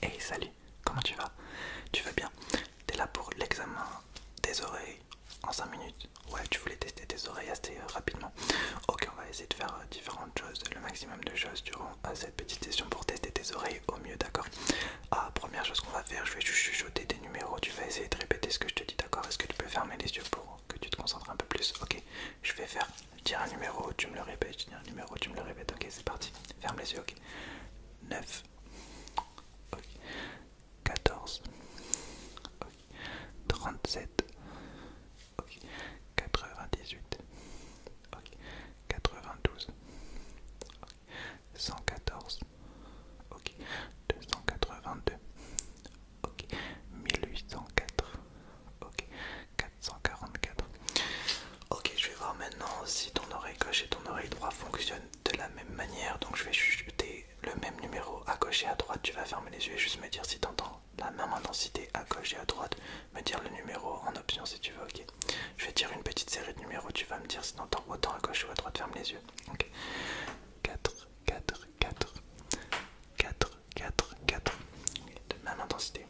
Hey salut, comment tu vas Tu vas bien T'es là pour l'examen des oreilles en 5 minutes Ouais, tu voulais tester tes oreilles assez euh, rapidement. Ok, on va essayer de faire euh, différentes choses, le maximum de choses durant euh, cette petite session pour tester tes oreilles au mieux, d'accord Ah, première chose qu'on va faire, je vais juste chuchoter des numéros, tu vas essayer de répéter ce que je te dis, d'accord Est-ce que tu peux fermer les yeux pour que tu te concentres un peu plus Ok, je vais faire Tiens un numéro, tu me le répètes, tiens un numéro, tu me le répètes, ok c'est parti, ferme les yeux, ok. 9, ok. 14, ok. 37, ok. 98, ok. 92, 114, ok. 282, ok. 1804, ok. 144. Ok, je vais voir maintenant si ton oreille gauche et ton oreille droite fonctionnent de la même manière. Donc je vais chuter le même numéro à gauche et à droite. Tu vas fermer les yeux et juste me dire si tu entends la même intensité à gauche et à droite. Me dire le numéro en option si tu veux. Ok. Je vais dire une petite série de numéros. Tu vas me dire si tu entends autant à gauche ou à droite. Ferme les yeux. Ok. 4, 4, 4, 4, 4, 4. De même intensité.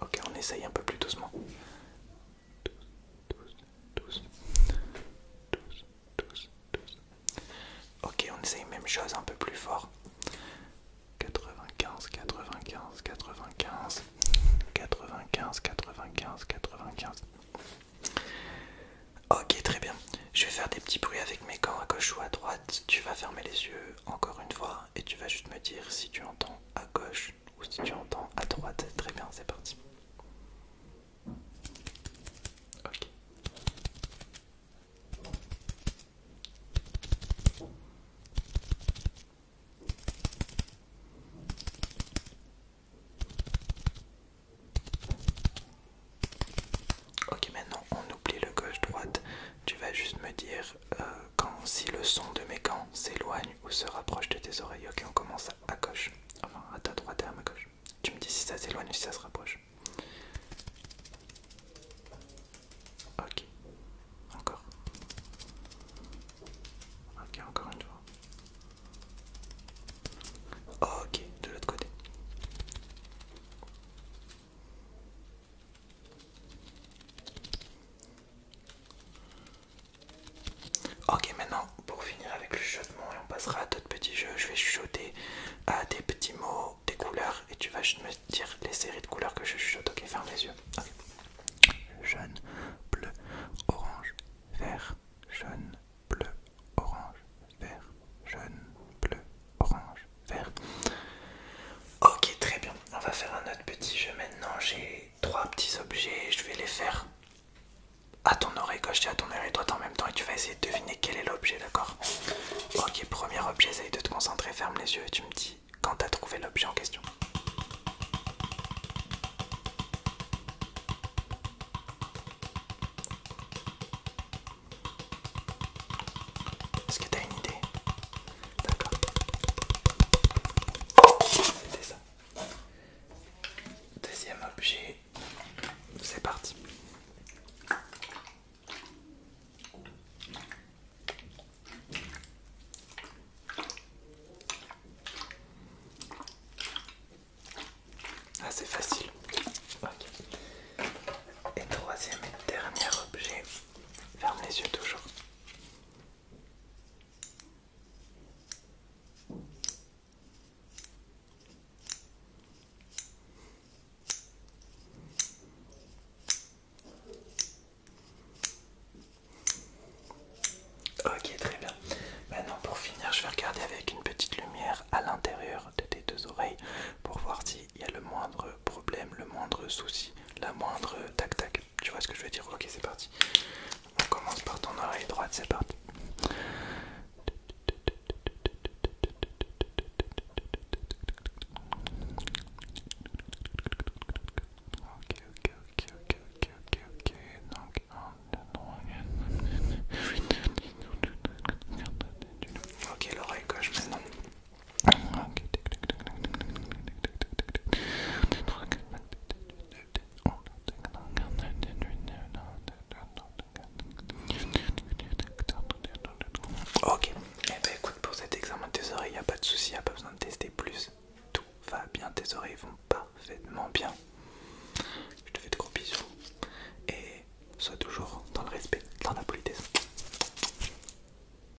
Ok, on essaye un peu plus doucement. 12, Ok, on essaye même chose un peu plus fort. 95, 95, 95, 95, 95, 95. Ok, très bien. Je vais faire des petits bruits avec mes gants à gauche ou à droite. Tu vas fermer les yeux encore une fois et tu vas juste me dire si tu entends à gauche ou si tu entends à droite, très bien, c'est parti. Ok. Ok, maintenant on oublie le gauche-droite tu vas juste me dire euh, quand, si le son de mes gants s'éloigne ou se rapproche de tes oreilles. Ok, on commence à, gauche. Enfin, à ta droite et à gauche. Tu me dis si ça s'éloigne ou si ça se rapproche. Ok, encore. Ok, encore une fois. Ok, de l'autre côté. Ok, maintenant pour finir avec le chuchotement, et on passera à d'autres petits jeux. Je vais chuchoter à des petits mots, des couleurs, et tu vas me dire les séries de couleurs que je chuchote. Ok, ferme les yeux. Jaune, bleu, orange, vert, jaune, bleu, orange, vert, jaune, bleu, orange, vert. Ok, très bien. On va faire un autre petit jeu maintenant. J'ai trois petits objets. Je vais les faire à ton oreille gauche et à ton oreille droite en même temps. Et tu vas essayer de deviner quel est l'objet, d'accord Ok, premier objet. Essaye de te concentrer. Ferme les yeux et tu me dis quand tu as trouvé l'objet en question. Est-ce que t'as une idée D'accord. Deuxième objet. C'est parti. Ah c'est facile. Et troisième et dernier objet. Ferme les yeux toujours. Ok, très bien. Maintenant, pour finir, je vais regarder avec une petite lumière à l'intérieur de tes deux oreilles pour voir s'il y a le moindre problème, le moindre souci, la moindre tac-tac. Tu vois ce que je veux dire Ok, c'est parti. On commence par ton oreille droite, c'est parti. Ok, ok, ok, ok, ok, ok, ok. Donc, Ok, l'oreille gauche maintenant. Ok, et eh ben, écoute, pour cet examen de tes oreilles, il n'y a pas de souci, il n'y a pas besoin de tester plus. Tout va bien, tes oreilles vont parfaitement bien. Je te fais de gros bisous et sois toujours dans le respect, dans la politesse.